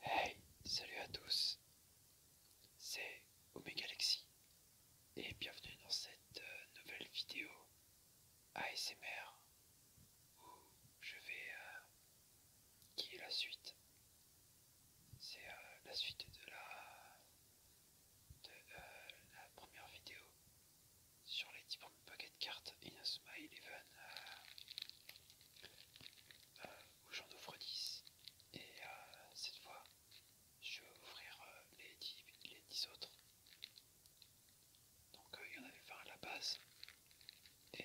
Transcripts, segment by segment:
Hey, salut à tous, c'est Omegalaxy et bienvenue dans cette euh, nouvelle vidéo ASMR où je vais... qui euh, est la suite C'est euh, la suite de la, de, la première vidéo sur les 10 Pocket Cards in Smile Even où j'en ouvre 10 et euh, cette fois je vais ouvrir euh, les, 10, autres donc euh, il y en avait 20 à la base et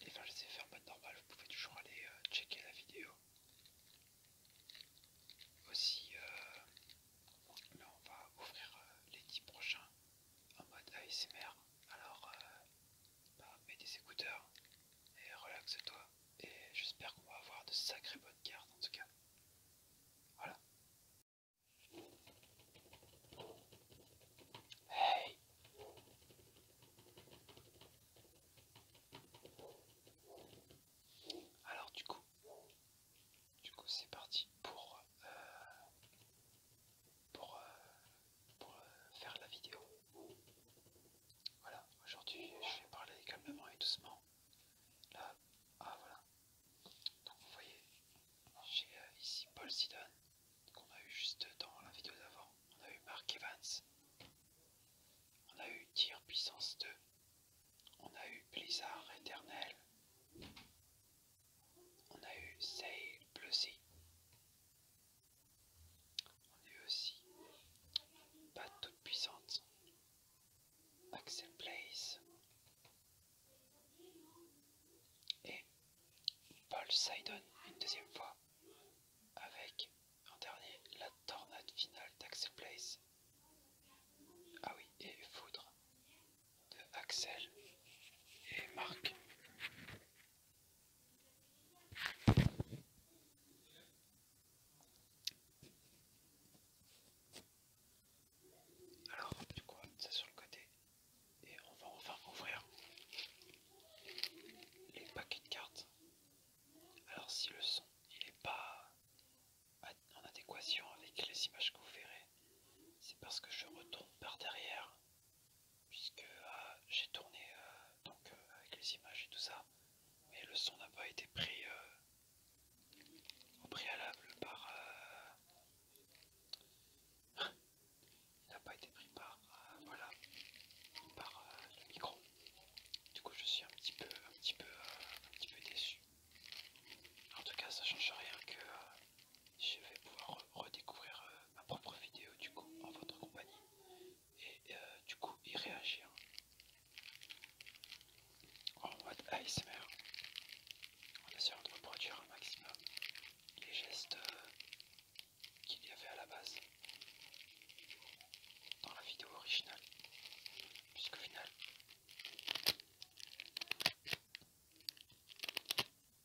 les je les ai fait en mode normal vous pouvez toujours aller checker la vidéo aussi on va ouvrir les 10 prochains en mode ASMR. Ah, Alors, euh, bah, mets des écouteurs et relaxe-toi. Et j'espère qu'on va avoir de sacrées bonnes cartes en tout cas. Voilà. Hey Alors du coup, du coup c'est parti pour euh, pour, euh, pour euh, faire la vidéo. Voilà, aujourd'hui je vais parler calmement et doucement. Là, ah voilà. Donc vous voyez, j'ai euh, ici Paul Sidon, qu'on a eu juste dans la vidéo d'avant. On a eu Mark Evans. On a eu Tir puissance 2. On a eu Blizzard éternel. On a eu Say Blue On a eu aussi Pas Toute Puissante. Axel Place. Et Paul Sidon une deuxième fois avec en dernier la tornade finale d'Axel Place. Ah oui, et Foudre de Axel et Marc. Alors, du coup, ça sur le côté. Et on va enfin ouvrir les paquets de cartes. Alors si le son il n'est pas en adéquation avec les images que vous verrez, c'est parce que je retourne par derrière puisque euh, j'ai tourné euh, donc euh, avec les images et tout ça, mais le son n'a pas été pris au préalable par. n'a pas été pris par. le micro. Du coup, je suis un petit peu, un petit peu, un petit peu déçu. En tout cas, ça change rien que je vais pouvoir redécouvrir euh, ma propre vidéo du coup en votre compagnie et euh, du coup y réagir en mode ASMR en essayant de reproduire un maximum les gestes euh, qu'il y avait à la base dans la vidéo originale puisqu'au final du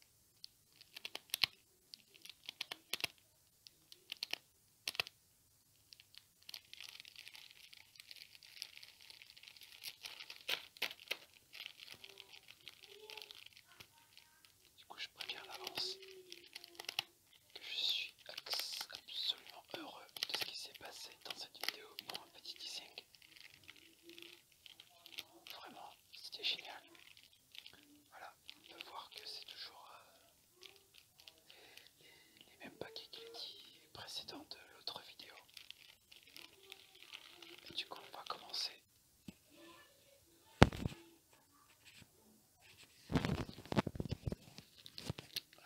coup, je préviens à l'avance que je suis absolument heureux de ce qui s'est passé dans cette vidéo pour un petit teasing. Vraiment, c'était génial. Voilà, on peut voir que c'est toujours euh, les, mêmes paquets que les précédents de l'autre vidéo. du coup, on va commencer.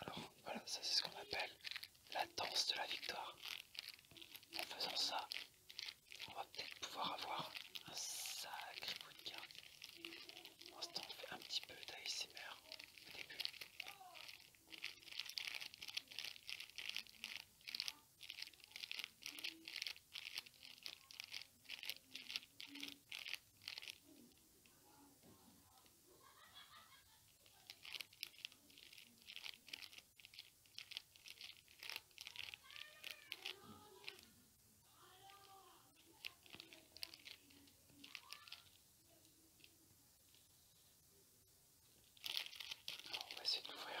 Alors voilà, ça c'est ce qu'on appelle la danse de la victoire. En faisant ça, on va peut-être pouvoir avoir un sacré bout de gain. Pour l'instant, on fait un petit peu d'ASMR au début on va essayer de l'ouvrir.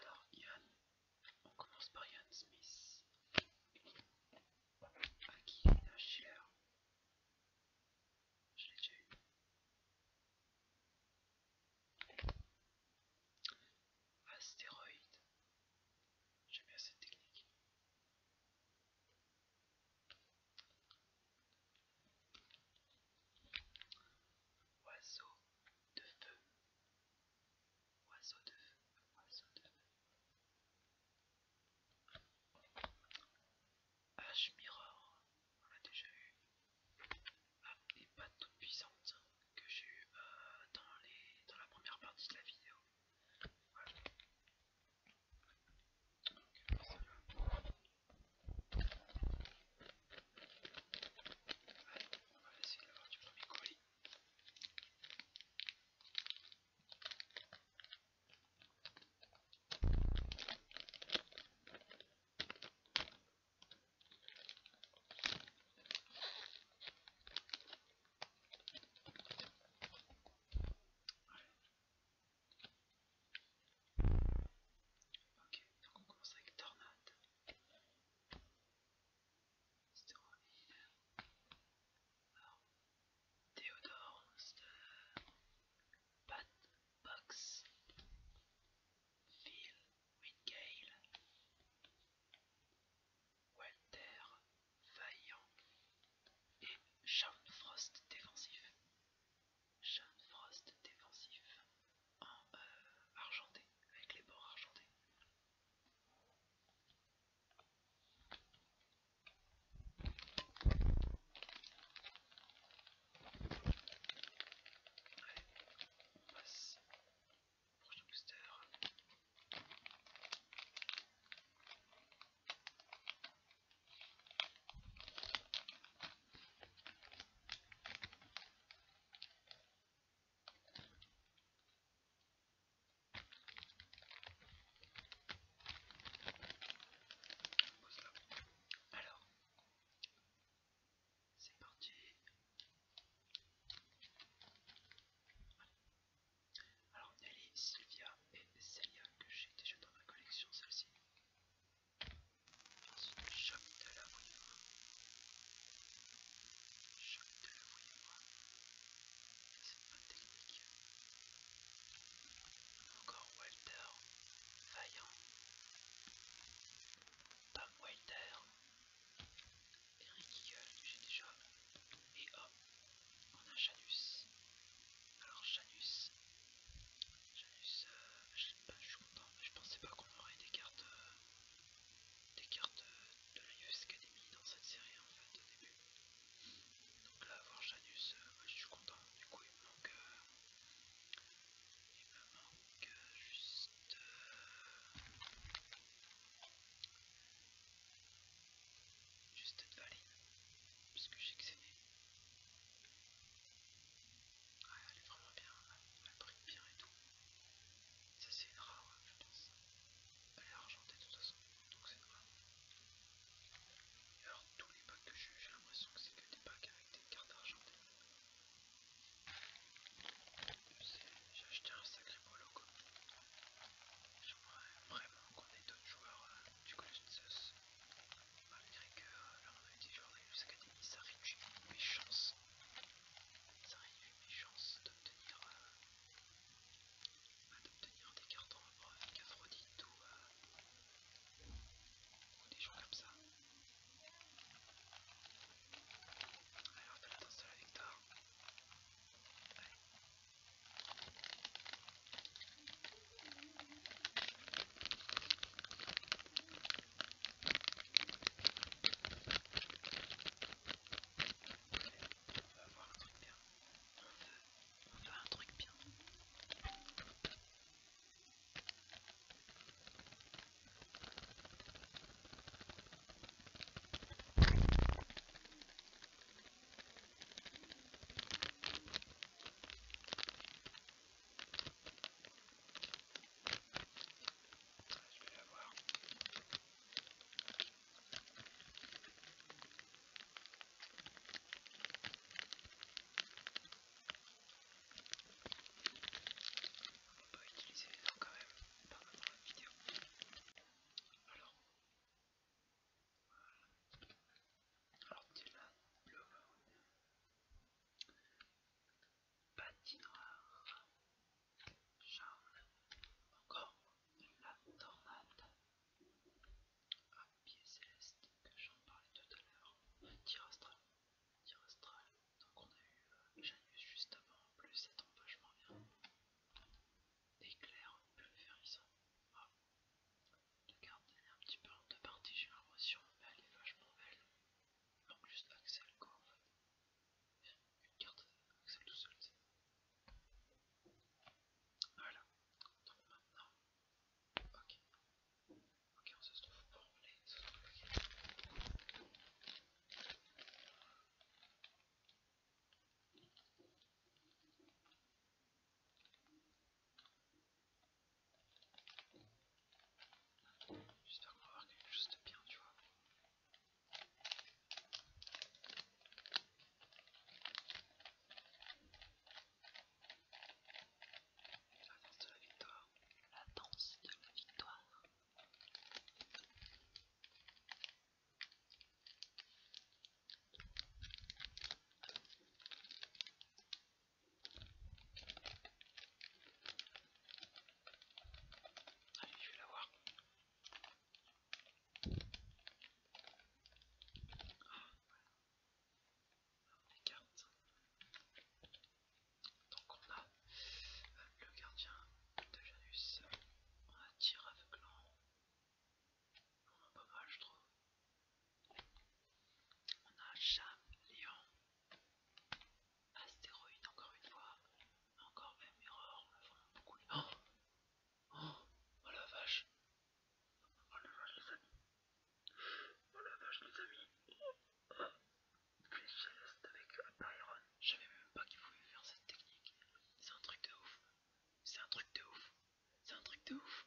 Alors, Ian, on commence par Yann Smith, A qui il Schiller. Je l'ai déjà eu. Astéroïde. J'aime bien cette technique. Oiseau de feu, oiseau de feu, oiseau de feu. Mirror, on l'a déjà eu. des ah, pattes toutes puissantes hein, que j'ai eu euh, dans, la première partie de la vidéo. Allez, on va essayer de l'avoir du premier colis. Ok, donc on commence avec tornade. Theodore Pat Box Phil Wingale Walter Vaillant et Sean Frost défensif. Sean Frost défensif en euh, argenté, avec les bords argentés. Allez, on passe au prochain booster. Alors, c'est parti. Alors, Nelly, Sylvia et Celia que j'ai déjà dans ma collection, celle-ci. Ensuite, choc de la voyure. Choc de la C'est pas technique. Encore Walter. Vaillant. Tom Walter. Eric Eagle, j'ai déjà. Et hop, on a Janus. Alors Janus. Je je, je suis content, mais je pensais pas qu'on aurait des cartes. Euh, des cartes de la US Academy dans cette série en fait au début. Donc là avoir Janus, euh, moi je suis content, du coup il me manque euh, il me manque euh, juste juste de Valine, puisque j'ai que c'est Ouais, ah, elle est vraiment bien, elle brille bien et tout. Ça c'est une rare, je pense. Elle est argentée de toute façon, donc c'est une rare. Et alors tous les packs que j'ai eu, j'ai l'impression que c'est que des packs avec des cartes argentées. J'ai acheté un sacré polo quoi. J'aimerais vraiment qu'on ait d'autres joueurs euh, du collège de Zeus. Malgré que euh, là on a eu des joueurs de Academy, ça réduit mes chances ça aurait eu mes chances euh, d'obtenir des cartons avec Aphrodite euh, ou, des gens comme ça. Alors, fais la danse de la Victor Allez. On va avoir un truc bien. On veut, on veut un truc bien. Je vais l'avoir. On peut utiliser quand même, la vidéo. Alors, tu l'as, bleu, patinoire charles encore la tornade à pied céleste que j'en parlais tout à l'heure, tirastral, astral, donc on a eu Janus juste avant, en plus ça tombe vachement bien, éclair plus ferrissant la elle est un petit peu en deux parties j'ai mais elle est vachement belle, donc juste Axel quoi en une carte Axel tout seul. Voilà. Donc maintenant. Ok. Ok, on se trouve pour les J'espère qu'on va avoir quelque chose de bien, tu vois. La danse de la victoire. La danse de la victoire. Allez, je vais la Ah, voilà. Les cartes. Donc on a euh, le gardien de Janus. On a tir On On a pas mal je trouve. On a Jam, Léon. Astéroïde encore une fois. Encore même erreur, on vraiment beaucoup oh, oh, la vache. Oh la vache les amis. Oh la vache les amis. Flèche oh, céleste avec iron, Je savais même pas qu'il pouvait faire cette technique. C'est un truc de ouf. C'est un truc de ouf. C'est un truc de ouf.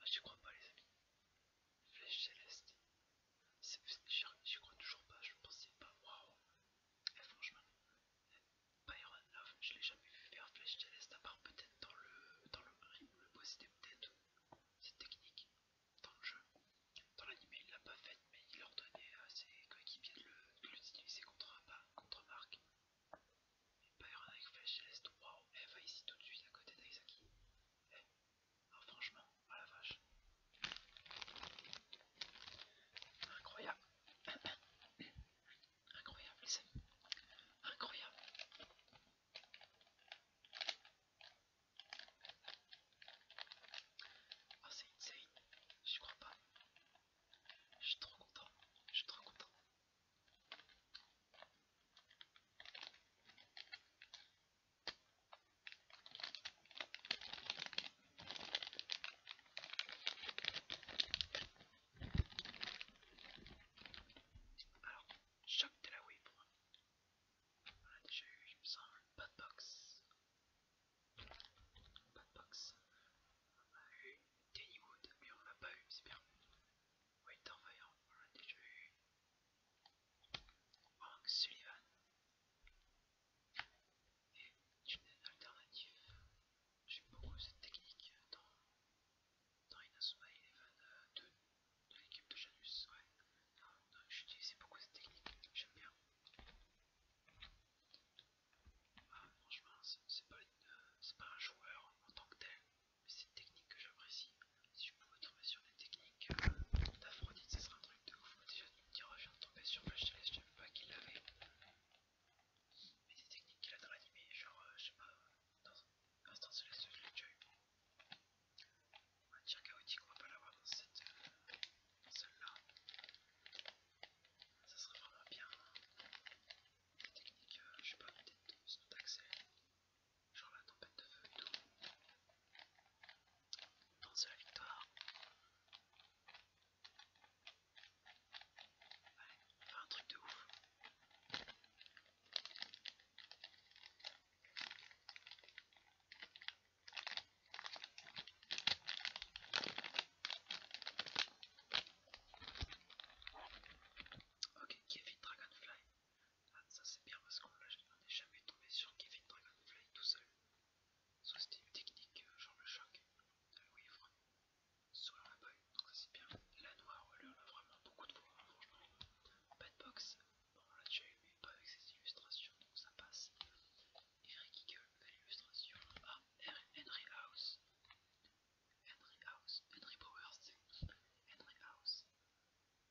Ah, je crois pas les amis. Flèche céleste. J'y crois toujours pas, je pensais pas, waouh! Hein. Eh, franchement, eh, Byron Love, je l'ai jamais vu faire Flash Celeste, à part peut-être dans le, dans le ring ou le peut-être, cette technique dans le jeu. Dans l'anime, il l'a pas faite, mais il ordonnait à ses coéquipiers de l'utiliser contre, contre Marc. Mais Byron avec flèche celeste, waouh! Elle va ici tout de suite à côté d'Aizaki. Eh, ah franchement, à oh la vache. Incroyable. Incroyable c'est Incroyable. Ah c'est insane. Je crois pas. Je suis trop content. Je suis trop content. Alors, choc de la Wii pour moi. On a déjà eu, je me sens, pas de box. On a eu Danny Wood, mais on l'a pas eu, c'est bien. Fire, on l'a déjà eu. Frank Sullivan et une alternative. J'aime beaucoup cette technique euh, dans, dans Inazuma Eleven 2 euh, de l'équipe de Janus. Ouais, j'utilisais beaucoup cette technique, j'aime bien. Ah, franchement, c'est pas, euh, pas un joueur en tant que tel, mais c'est une technique que j'apprécie. Si je pouvais trouver sur des techniques d'Aphrodite, ce sera un truc de ouf. Il revient de tomber sur Flash Celeste, je pas qu'il l'avait. Mais des techniques qu'il a dans l'animé, genre, euh, je sais pas, dans Instant Celeste, je l'ai déjà eu. Un tir chaotique, on va pas l'avoir dans cette euh, celle là Ça serait vraiment bien. Des techniques, euh, je sais pas, peut-être d'accès. Genre la tempête de feu et tout. Non c'est la victoire. va faire un truc de ouf. Ok, Kevin Dragonfly. Ah, ça c'est bien parce qu'on n'est jamais tombé sur Kevin Dragonfly tout seul. Soit c'était une technique euh, genre le choc de Louis soit Solar Boy, donc ça c'est bien. La noire, elle a vraiment beaucoup de voix, franchement. Petbox, bon on l'a déjà eu, mais pas avec ses illustrations, donc ça passe. Eric Eagle, belle illustration. Ah, Henry House. Henry House, Henry Powers, c'est Henry House.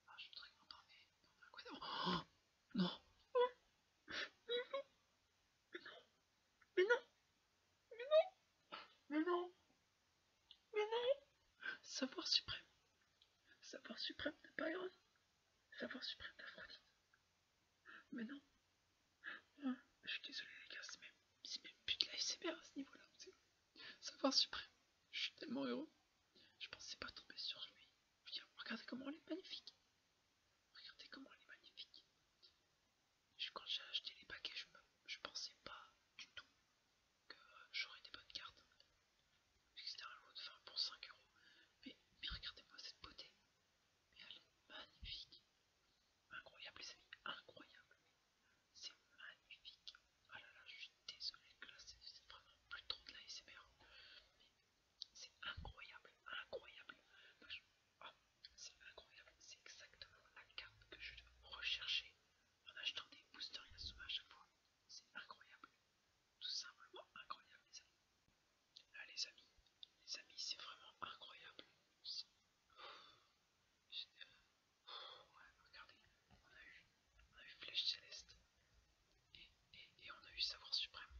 Ah, je suis très content, mais on quoi non mais non Mais non Mais non Mais non Mais non Savoir suprême. Savoir suprême de Byron. Savoir suprême d'Aphrodite. Mais non. je suis désolé les gars, c'est même, plus de la SMR à ce niveau-là. Savoir suprême. Je suis tellement heureux. Je pensais pas tomber sur lui. Regardez comment elle est magnifique. Regardez comment elle est magnifique. quand j'ai acheté les paquets, je, pensais pas du tout que j'aurais des bonnes cartes. C'était un lot de fin pour 5 euros. Mais, regardez-moi cette beauté. elle est magnifique. Incroyable les amis, incroyable. C'est magnifique. Ah là là, je suis désolé que là, c'est vraiment plus trop de la SMR. C'est incroyable, incroyable. Oh, c'est incroyable, c'est exactement la carte que je rechercher en achetant des boosters à chaque fois. C'est incroyable, tout simplement incroyable les amis. Là les amis, les amis c'est vraiment incroyable. Euh, regardez, on a eu, on a Flèche et, on a eu Savoir Suprême.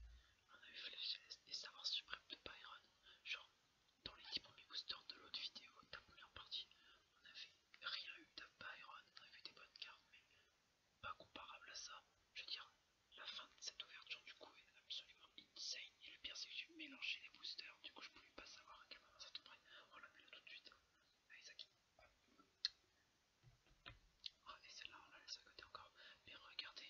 On a eu Flash et Savoir Suprême de Byron. Genre, dans les 10 premiers boosters de l'autre vidéo, de la première partie, on avait rien eu de Byron. On avait des bonnes cartes, mais pas comparable à ça. Je veux dire, la fin de cette ouverture du coup est absolument insane. Et le pire, c'est que j'ai mélangé les boosters. Du coup, je pouvais pas savoir à quel moment ça tomberait. On oh la mis là tout de suite. Allez, ah, Zaki. Ah, et celle-là, on la laisse à côté encore. Mais regardez,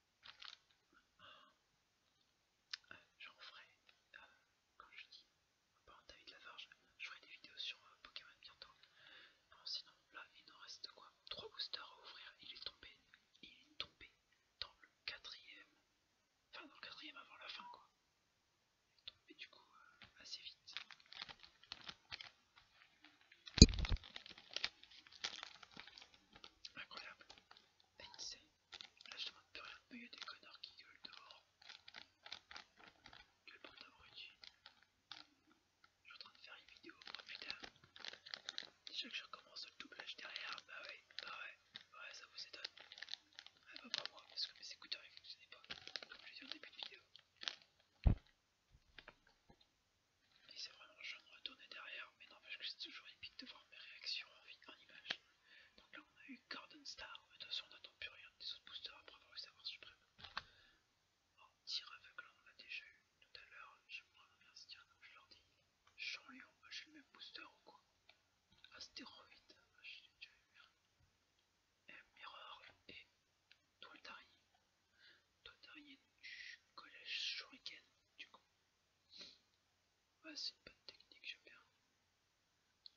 J'en ferai, quand euh, je dis de la varge. je ferai des vidéos sur euh, Pokémon bientôt. sinon, là, il en reste quoi Trois boosters à ouvrir. Il est tombé, il est tombé dans le quatrième, enfin dans le quatrième avant la fin, quoi. Il est tombé du coup euh, assez vite. Incroyable, Là, je demande plus rien, mais il y a des connards qui gueulent dehors. Quel bande d'abrutis. Je suis en train de faire une vidéo, oh putain. Déjà que je recommence le doublage derrière, bah ouais, bah ouais, ouais, ça vous étonne. Ah bah pas moi, parce que mes écouteurs ils fonctionnaient pas, comme je l'ai début de vidéo. Et c'est vraiment le de retourner derrière, mais n'empêche que c'est toujours épique de voir mes réactions en, en image. Donc là, on a eu Garden Star. mais de toute façon on n'attend plus rien des autres boosters après avoir eu savoir suprême. Oh, tir là, on l'a déjà eu tout à l'heure. j'aimerais bien se dire, comme je leur dis. Jean-Lyon, j'ai le même booster ou quoi Astéroïde, ah, j'ai je l'ai déjà eu. un euh, Mirror et Toile d'araignée. du collège Shuriken, du coup. Ouais, c'est une bonne technique, j'aime bien.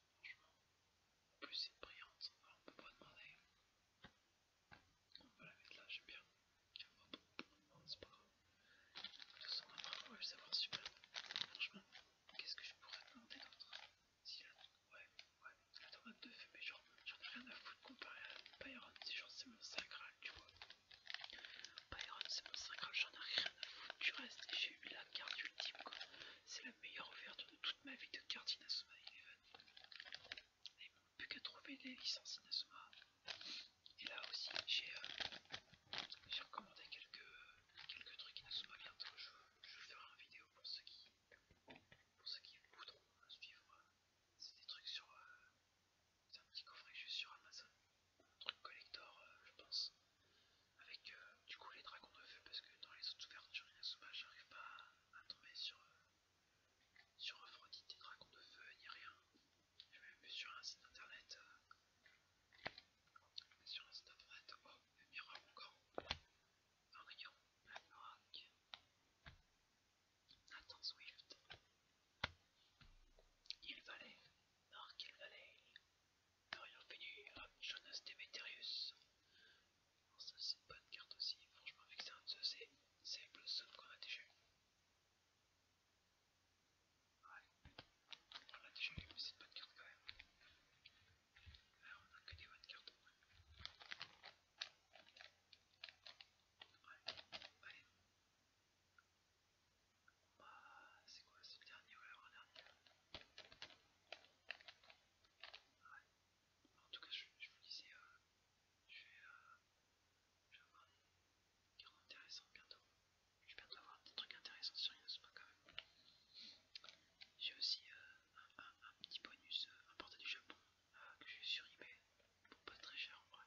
Franchement. En plus, c'est brillante. on peut pas demander. On va la mettre là, j'aime bien. demander, c'est pas grave. De toute façon, après, on va le savoir super. Franchement, qu'est-ce que je pourrais demander d'autre Si là, ouais, ouais, la tomate de fumée genre, j'en ai rien à foutre comparé à Byron. C'est genre, c'est mon sacral, tu vois c'est mon 50, j'en ai rien à foutre du reste j'ai eu la carte ultime quoi. C'est la meilleure ouverture de toute ma vie de carte Inazuma Eleven. est plus qu'à trouver les licences Inazuma. Et là aussi euh, j'ai recommandé quelques, quelques trucs Inazuma bientôt. Je, vais ferai une vidéo pour ceux qui, pour ceux qui voudront suivre. Euh, c'est des trucs sur... Euh, un petit coffret juste sur Amazon truc collector, euh, je pense. Avec euh, du coup les dragons de feu, parce que dans les autres ouvertures, souvent j'arrive pas à, tomber sur, euh, sur Aphrodite dragons de feu ni rien. Je vais même vu sur un site internet. sur un site internet, oh, le miroir encore. Un rayon, rock. Nathan Swift. Il Valley. Marc, il valait a fini hop, hein, Jonas Demeterius. ça c'est une bonne carte aussi, franchement avec ça, c'est c'est Blossom qu'on a déjà eu. on l'a déjà eu, mais c'est une bonne carte quand même. on a que des bonnes cartes. Bah, c'est quoi, c'est le dernier ou l'avant-dernier En tout cas, je, vous disais, euh, je, vais, euh, avoir des intéressantes bientôt. Je vais bientôt avoir des trucs intéressants sur Inospot quand même. J'ai aussi euh, un, petit bonus euh, importé du Japon que j'ai sur eBay pour pas très cher en vrai.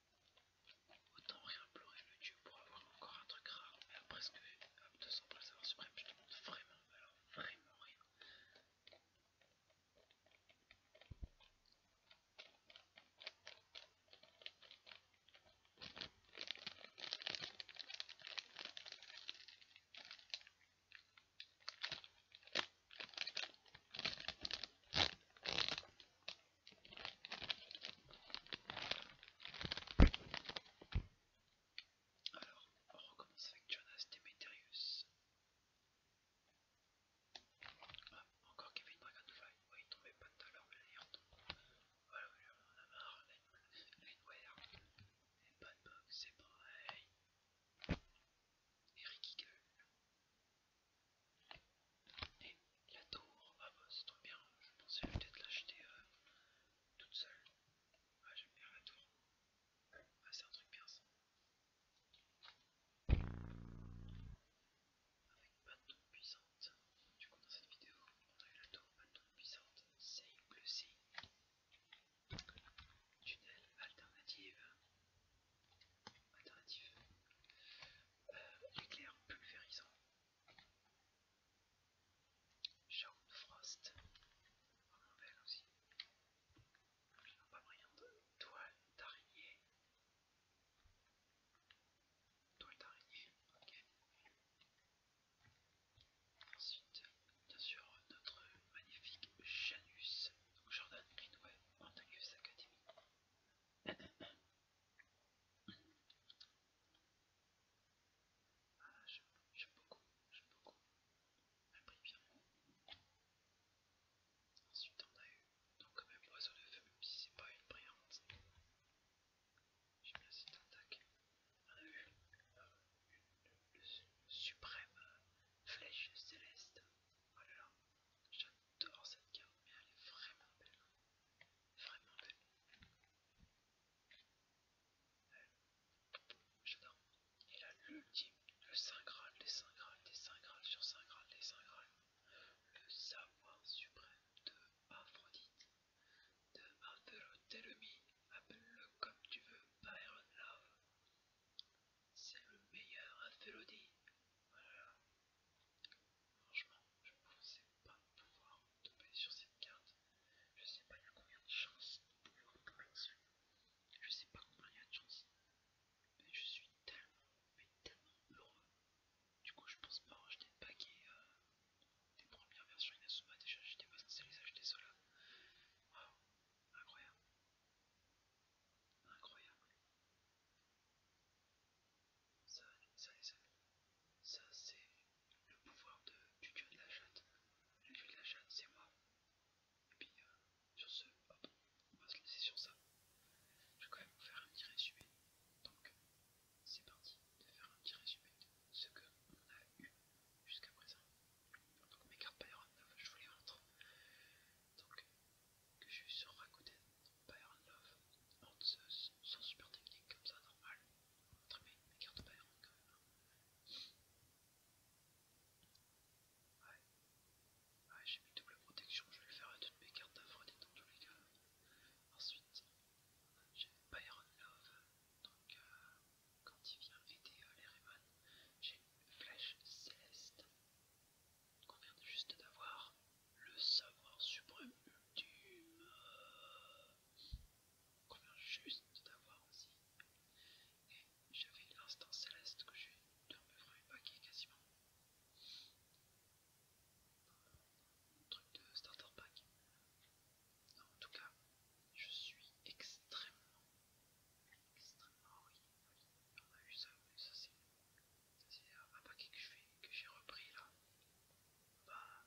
Autant rien pleurer le dieu pour avoir encore un truc rare. Après presque que, sans pas savoir suprême, je demande vraiment, vraiment rien. Alors, on recommence avec Jonas Demeterius. Ah, encore Kevin Dragonfly, Oui, il trouvait pas tout à l'heure, mais là il retombe. Voilà, on a marre. Lineware. Et de box, c'est pareil. Et Ricky et la tour, ah bah c'est trop bien, je pensais peut-être l'acheter euh, toute seule. Ah j'aime bien la tour. Ah, c'est un truc bien ça. Avec pas de puissante. Du coup dans cette vidéo, on a eu la tour, pas de puissante, C'est plus C. Tunnel alternative. Alternatif L'éclair euh, pulvérisant. Shaun Frost, vraiment belle aussi. Absolument pas de Toile d'araignée. Toile d'araignée, ok. Ensuite, bien sûr, notre magnifique Janus, Jordan Greenway, Montague's Academy. j'aime beaucoup, j'aime beaucoup. pris bien. Ensuite, on a eu, donc même, oiseau de feu, même si c'est pas une brillante. J'ai bien cette attaque. On a eu une, suprême flèche céleste. Oh là, j'adore cette carte, mais elle est vraiment belle. Vraiment belle. J'adore. Et là, l'ultime, le Saint Graal, des Saint Graal, des Saint Graal, sur Saint Graal, des Saint Graal. Le savoir suprême de Aphrodite, de Aphrodite, appelle-le comme tu veux, Byron Love. C'est le meilleur Aphrodite, Franchement, je ne pensais pas pouvoir tomber sur cette carte. Je sais pas il combien de chances de Je sais pas combien il y a de chances. Mais je suis tellement, mais tellement heureux. Du coup, je pense pas racheter de paquet euh, des premières versions Inazuma. Déjà, j'étais pas censé les acheter ceux-là. incroyable. Incroyable. Ça, ça les ça c'est le pouvoir de, du dieu de la chatte. Le dieu de la chatte c'est moi. Et puis euh, sur ce, hop, on va se laisser sur ça. Je vais quand même vous faire un petit résumé. Donc c'est parti de faire un petit résumé de ce que on a eu jusqu'à présent. Donc mes cartes Byron 9, je vous les montre. Donc que je suis sur Rakuten, Pyron Love, Zeus sans super techniques comme ça, normal. Très mes cartes Pyron quand même. Ouais, ouais j'ai mis double protection, je vais le faire à toutes mes cartes d'Aphrodite dans tous les cas. Ensuite, j'ai Byron Love, donc quand il vient aider les Rayman, j'ai une flèche céleste qu'on vient juste d'avoir le savoir suprême ultime. qu'on vient juste d'avoir aussi. Et j'avais l'instant céleste que j'ai dans mes qui paquet quasiment. Un truc de starter pack. en tout cas, je suis extrêmement, extrêmement oui, On a eu ça, mais ça c'est un paquet que j'ai repris là. Bah,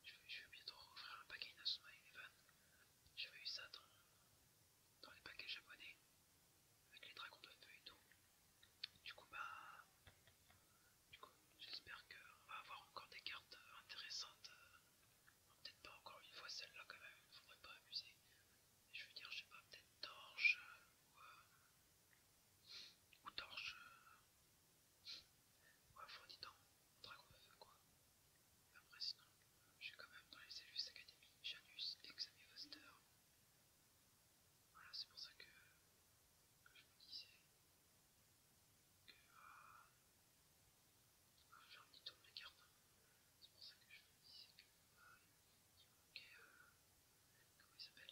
je vais, bientôt refaire un paquet Inazuma Eleven. J'avais eu ça dans, les paquets japonais, avec les dragons de feu et tout. Du coup, bah. Du coup, j'espère qu'on va avoir encore des cartes intéressantes. Euh, peut-être pas encore une fois celle-là quand même, faudrait pas abuser. je veux dire, je sais pas, peut-être torche euh, ou, euh, ou torche Ouais, on dans un dragon de feu, quoi. Après, sinon, je suis quand même dans les Cellus Academy, Janus et Xavier Foster. Voilà, c'est pour ça que, je me disais que. Euh, ah, faire un petit tour de la carte. Hein. C'est pour ça que je me disais que. Euh, manquait. Euh, comment il s'appelle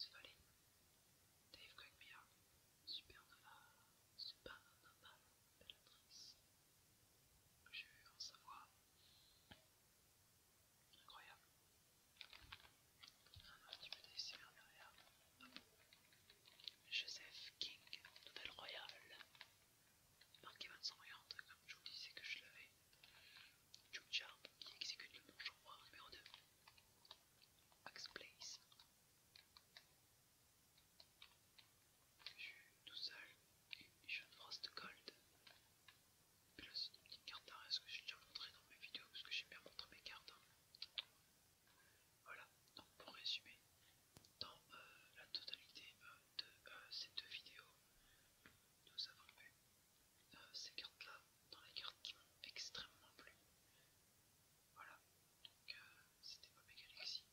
Svalin, Dave Cogmire, Supernova, Supernova, Bellatrice. J'ai eu un savoir incroyable. Un petit peu d'ASMR derrière. Joseph King, Nouvelle Royale. son 2550, comme je vous disais que je l'avais. Jude qui exécute le bonjour numéro 2. Max Place. Je tout seul et Jeune Frost Gold. Puis là, c'est une petite carte d'arrêt que j'ai déjà montré dans mes vidéos parce que j'ai bien montré mes cartes. Hein. Voilà, donc pour résumer, dans euh, la totalité euh, de euh, ces deux vidéos, nous avons eu ces cartes là dans les cartes qui m'ont extrêmement plu voilà, donc euh, c'était pas Galaxy.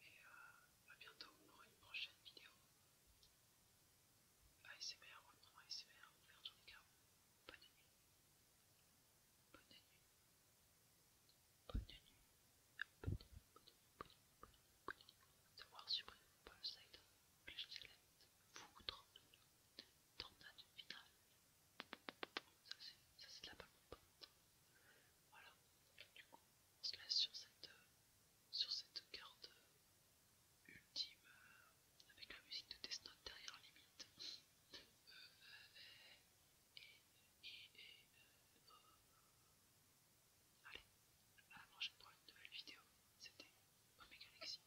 Et euh, à bientôt pour une prochaine vidéo. ASMR Bonne nuit. Bonne nuit. Bonne nuit. Bonne nuit. Bonne nuit. Bonne nuit. Bonne nuit. Bonne nuit. Side, tenta finale. Ça c'est de la balle montante. Voilà. Du coup, on se laisse sur cette, euh, sur cette carte euh, ultime euh, avec la musique de Death derrière limite. Allez, à la prochaine pour une nouvelle vidéo. C'était Omega Galaxy.